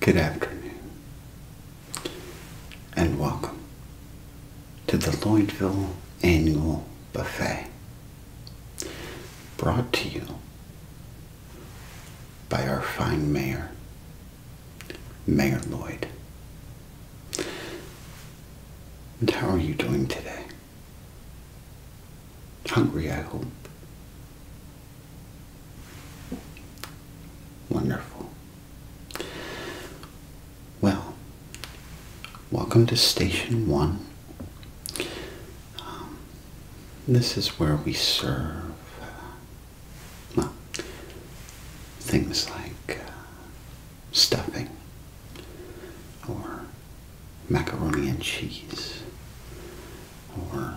Good afternoon, and welcome to the Lloydville Annual Buffet, brought to you by our fine mayor, Mayor Lloyd. And how are you doing today? Hungry, I hope. Wonderful. Well, welcome to Station 1. Um, this is where we serve uh, things like uh, stuffing or macaroni and cheese or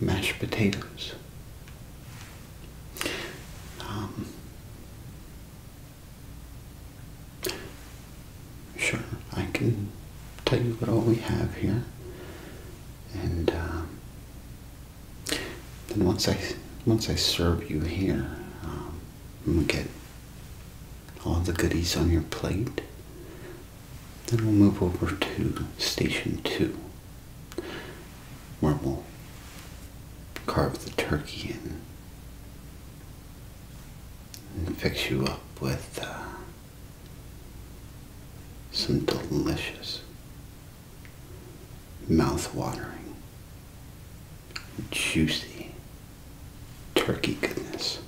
mashed potatoes. Um, sure, I can tell you what all we have here, and um, then once I once I serve you here, we um, get all the goodies on your plate. Then we'll move over to station two, where we'll carve the turkey and fix you up with uh, some delicious, mouth-watering, juicy turkey goodness.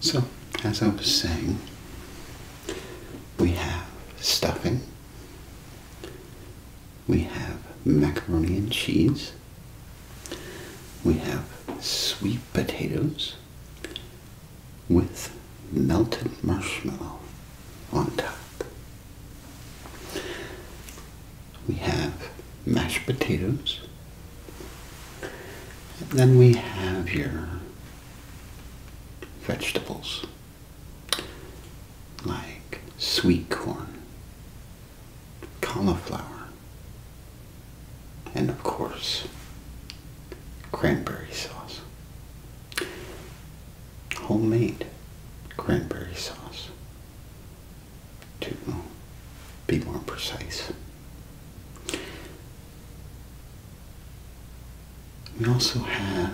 So, as I was saying, we have stuffing, we have macaroni and cheese, we have sweet potatoes with melted marshmallow on top. We have mashed potatoes then we have your vegetables like sweet corn, cauliflower, and of course, cranberry sauce. Homemade cranberry sauce to be more precise. We also have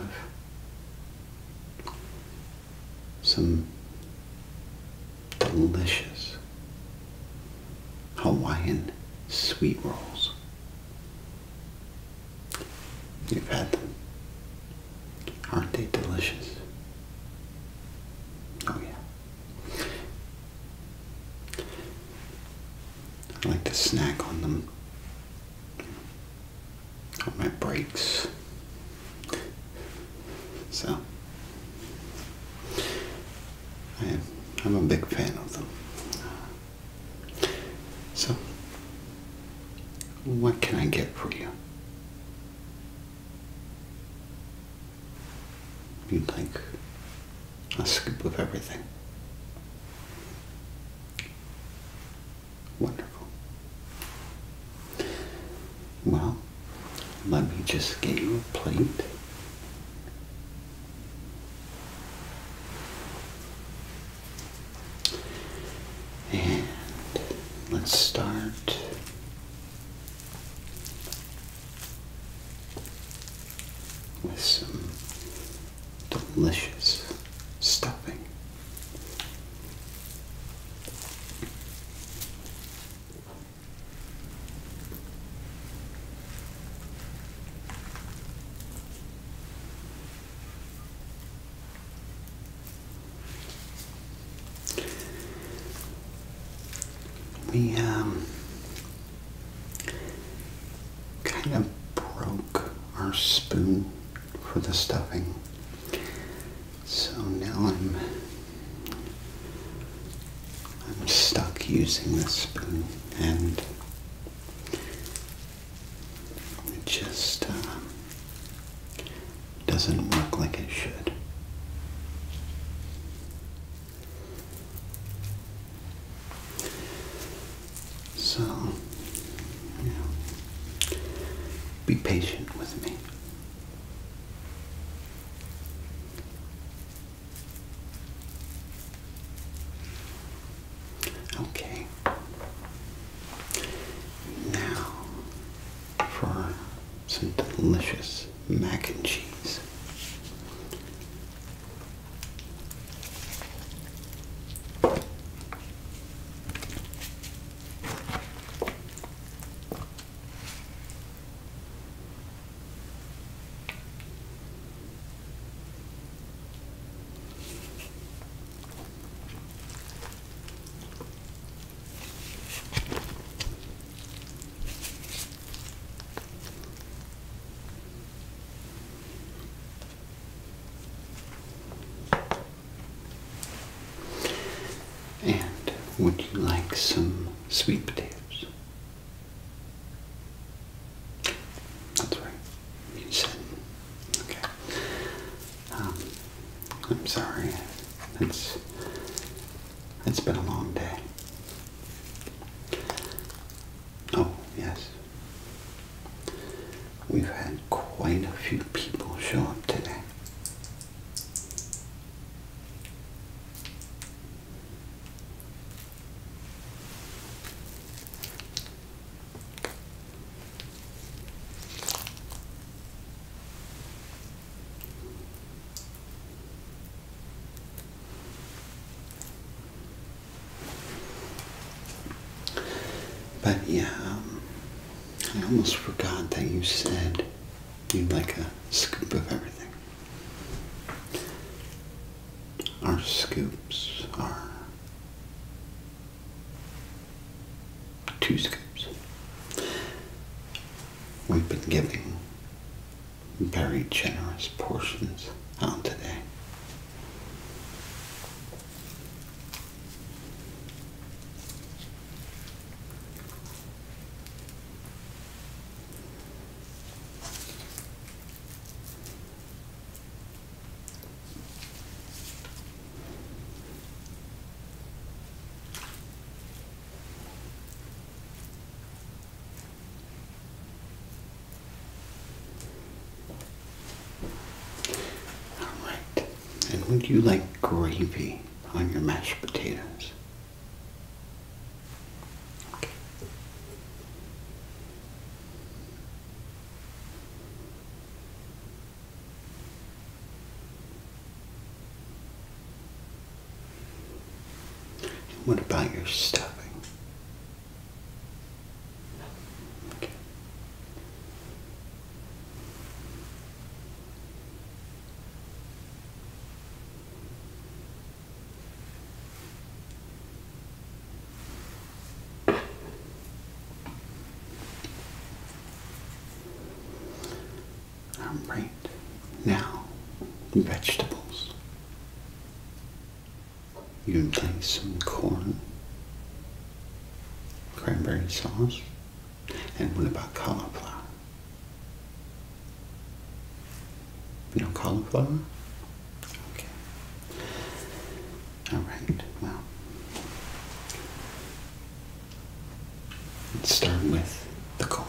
some delicious Hawaiian sweet rolls. You've had them. Aren't they delicious? Oh yeah. I like to snack on them on my breaks. So, I am, a big fan of them. So, what can I get for you? You'd think a scoop of everything. Wonderful. Well, let me just get you a plate. And let's start with some delicious stuffing. We um, kind of broke our spoon for the stuffing. So now I'm I'm stuck using this spoon and it just uh, doesn't work like it should. So, you be patient with me. Okay. Now, for some delicious mac and cheese. And would you like some sweet potatoes? That's right. You said okay. Um, I'm sorry. That's it's been a long day. Oh, yes. We've had quite a few people show up today. But yeah, um, I almost forgot that you said you'd like a scoop of everything. Our scoops are two scoops. We've been giving very generous portions out today. All right. And would you like gravy on your mashed potatoes? What about your stuffing? All right. Now, vegetables. You can place some corn, cranberry sauce, and what about cauliflower? No cauliflower? Okay. All right. Well, Let's start with the corn.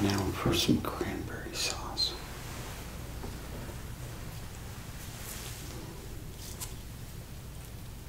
Now for some cranberry sauce.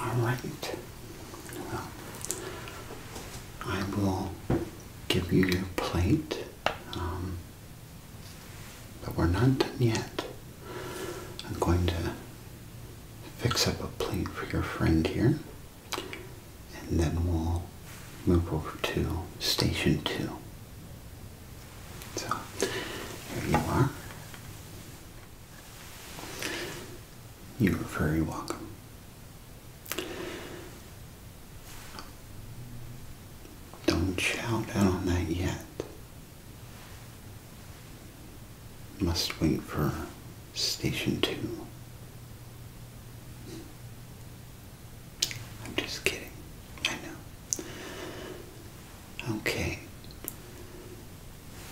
All right. I will give you your plate, um, but we're not done yet. I'm going to fix up a plate for your friend here, and then we'll move over to station two. So, here you are. You're very welcome. Don't shout out on that yet. Must wait for station two. I'm just kidding. I know. Okay.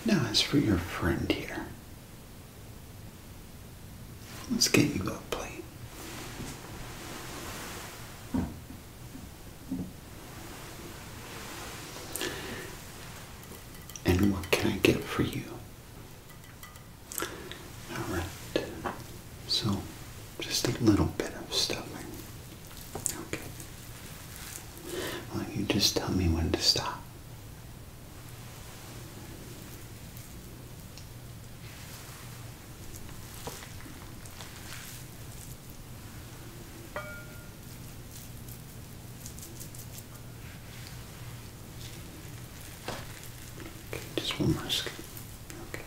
Now, as for your friend here, let's get you a plate. And what can I get for you? Alright, so just a little bit of stuffing. Okay. Well, you just tell me when to stop just one more Okay.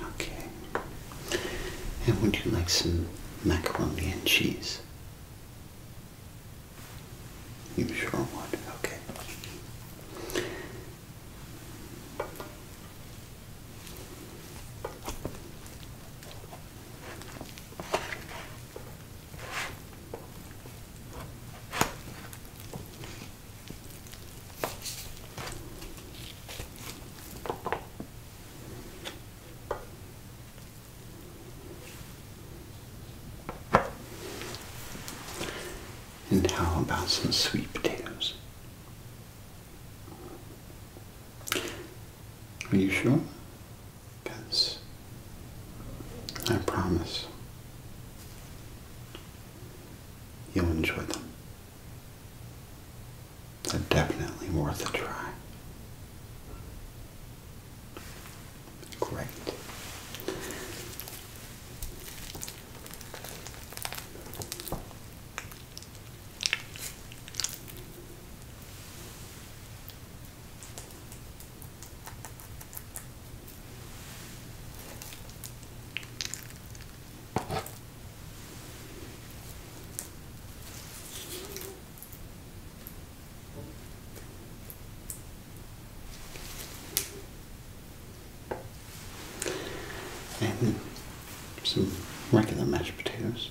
Okay. And would you like some macaroni and cheese? You sure would, okay. And how about some sweet potatoes? Are you sure? Yes. I promise. You'll enjoy them. They're definitely worth a try. Great. And some regular mashed potatoes.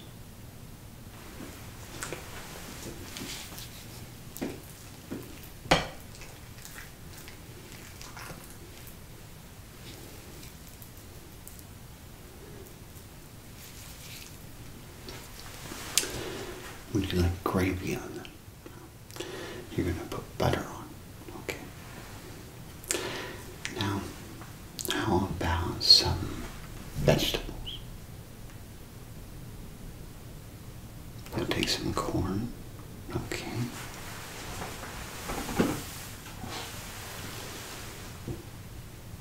Would you like gravy on them? You're going to put butter on. Okay. Now, how about some vegetables? I'll take some corn. Okay.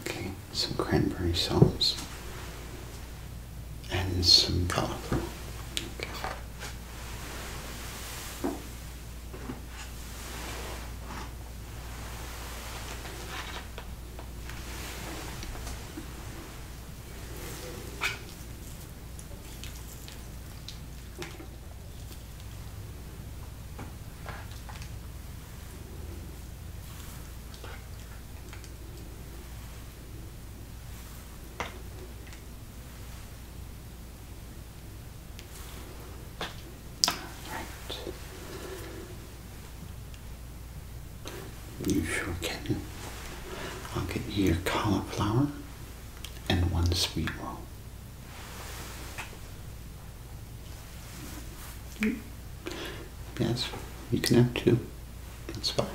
Okay, some cranberry sauce and some broth. You sure can. I'll get you your cauliflower and one sweet roll. Yes, you can have two. That's fine.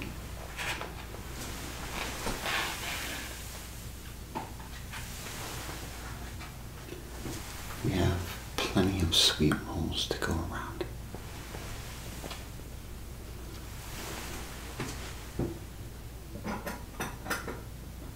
We have plenty of sweet rolls to go around.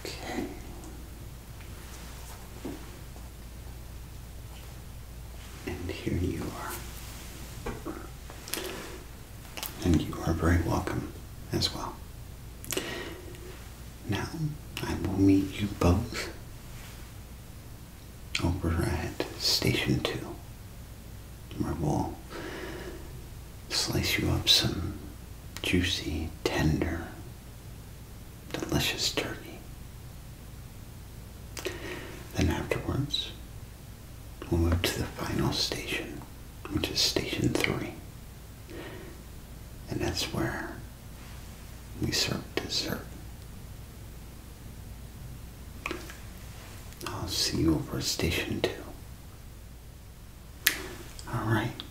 Okay. And here you are. And you are very welcome as well. Now I will meet you both over at Station 2, where we'll slice you up some juicy, tender, delicious turkey. Then afterwards, we'll move to the final station, which is Station 3. And that's where we serve dessert. I'll see you over at Station 2. Alright,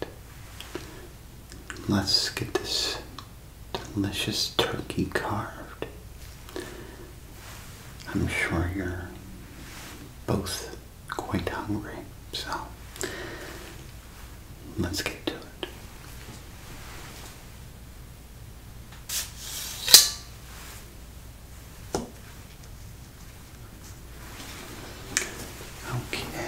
let's get this delicious turkey carved. I'm sure you're both quite hungry, so let's get to it. Okay.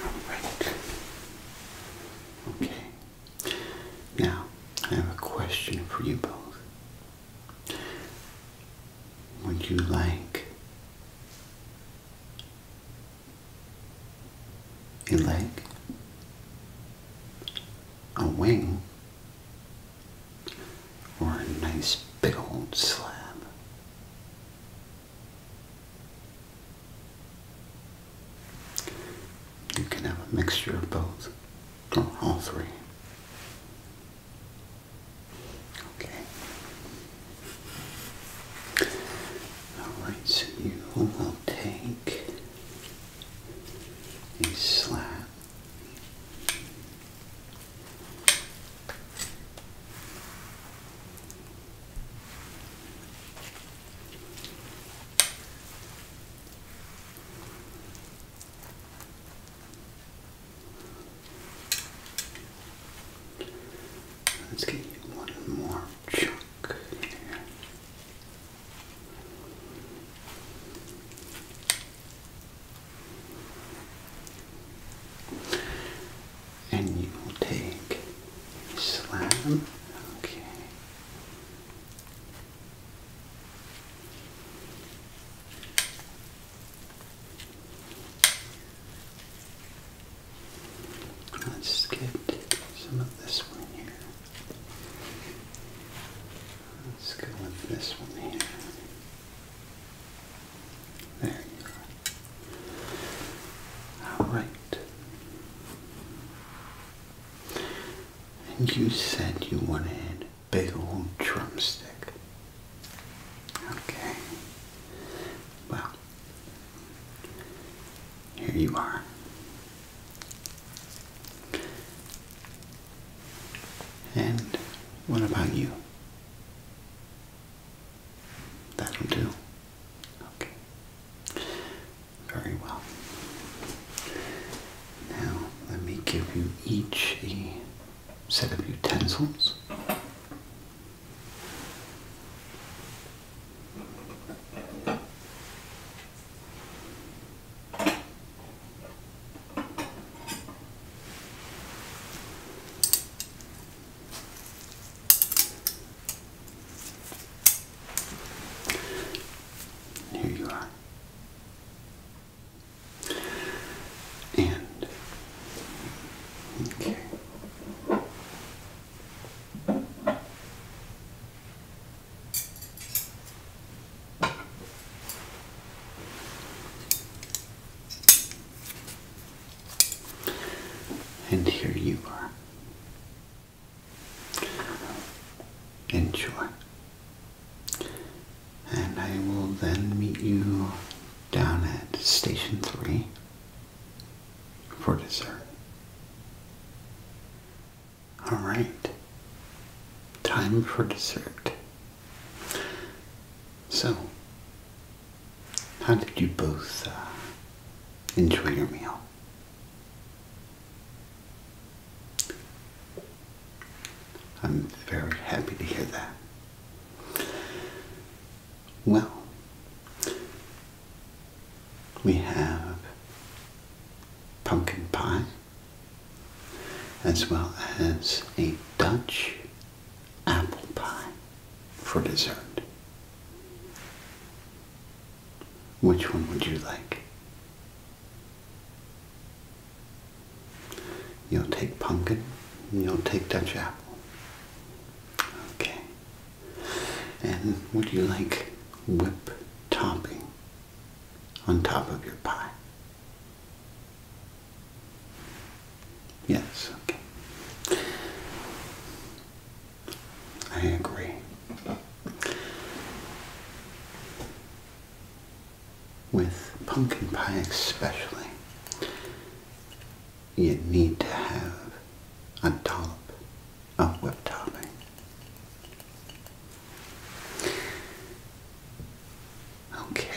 Alright. Okay. Now, I have a question for you both. Would you like a leg, a wing, or a nice big old slab. You can have a mixture of both, or all three. Okay. Alright, so you will take a slap. Let's get you one more chunk. And you will take slam, okay. Let's get some of this one here. Let's go with this one here. There you go. Alright. And you said you wanted big old drumstick. Okay. Well, here you are. And what about you? That'll do. Okay. Very well. Now, let me give you each a set of utensils. Here you are. And okay. And here you are. Enjoy. And I will then meet you down at station three for dessert. All right, time for dessert. So, how did you both uh, enjoy your meal? I'm very happy to hear that. Well, we have pumpkin pie, as well as a Dutch apple pie for dessert. Which one would you like? You'll take pumpkin, you'll take Dutch apple. Okay. And would you like whip topping on top of your pie? Yes, okay. I agree. With pumpkin pie especially, you need to have a top. Oh web tarling. Okay.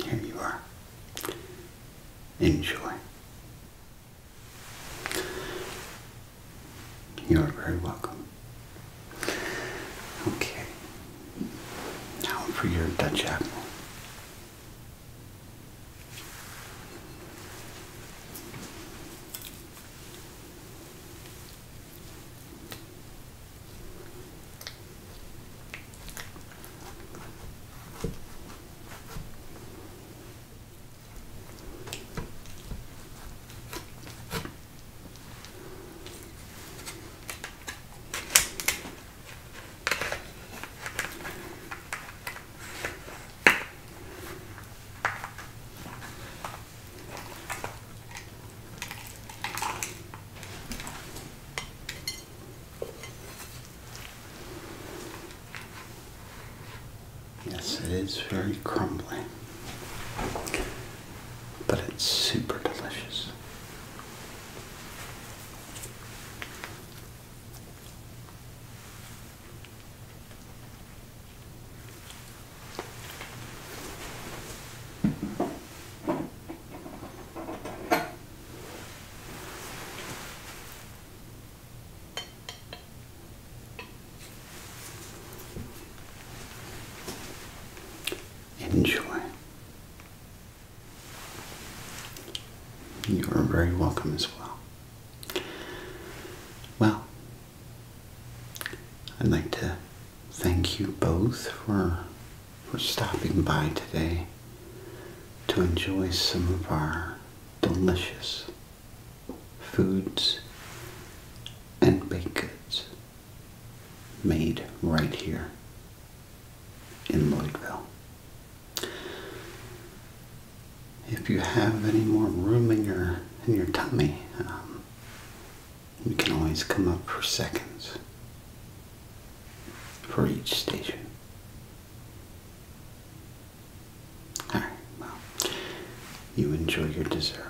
And here you are. Enjoy. You are very welcome. Okay. Now for your Dutch apple. Yes, it is very crumbling but it's super delicious. Enjoy. You are very welcome as well. Well, I'd like to thank you both for for stopping by today to enjoy some of our delicious foods and baked goods made right here in Lloydville. If you have any more room in your in your tummy, um, you can always come up for seconds for each station. All right, well, you enjoy your dessert.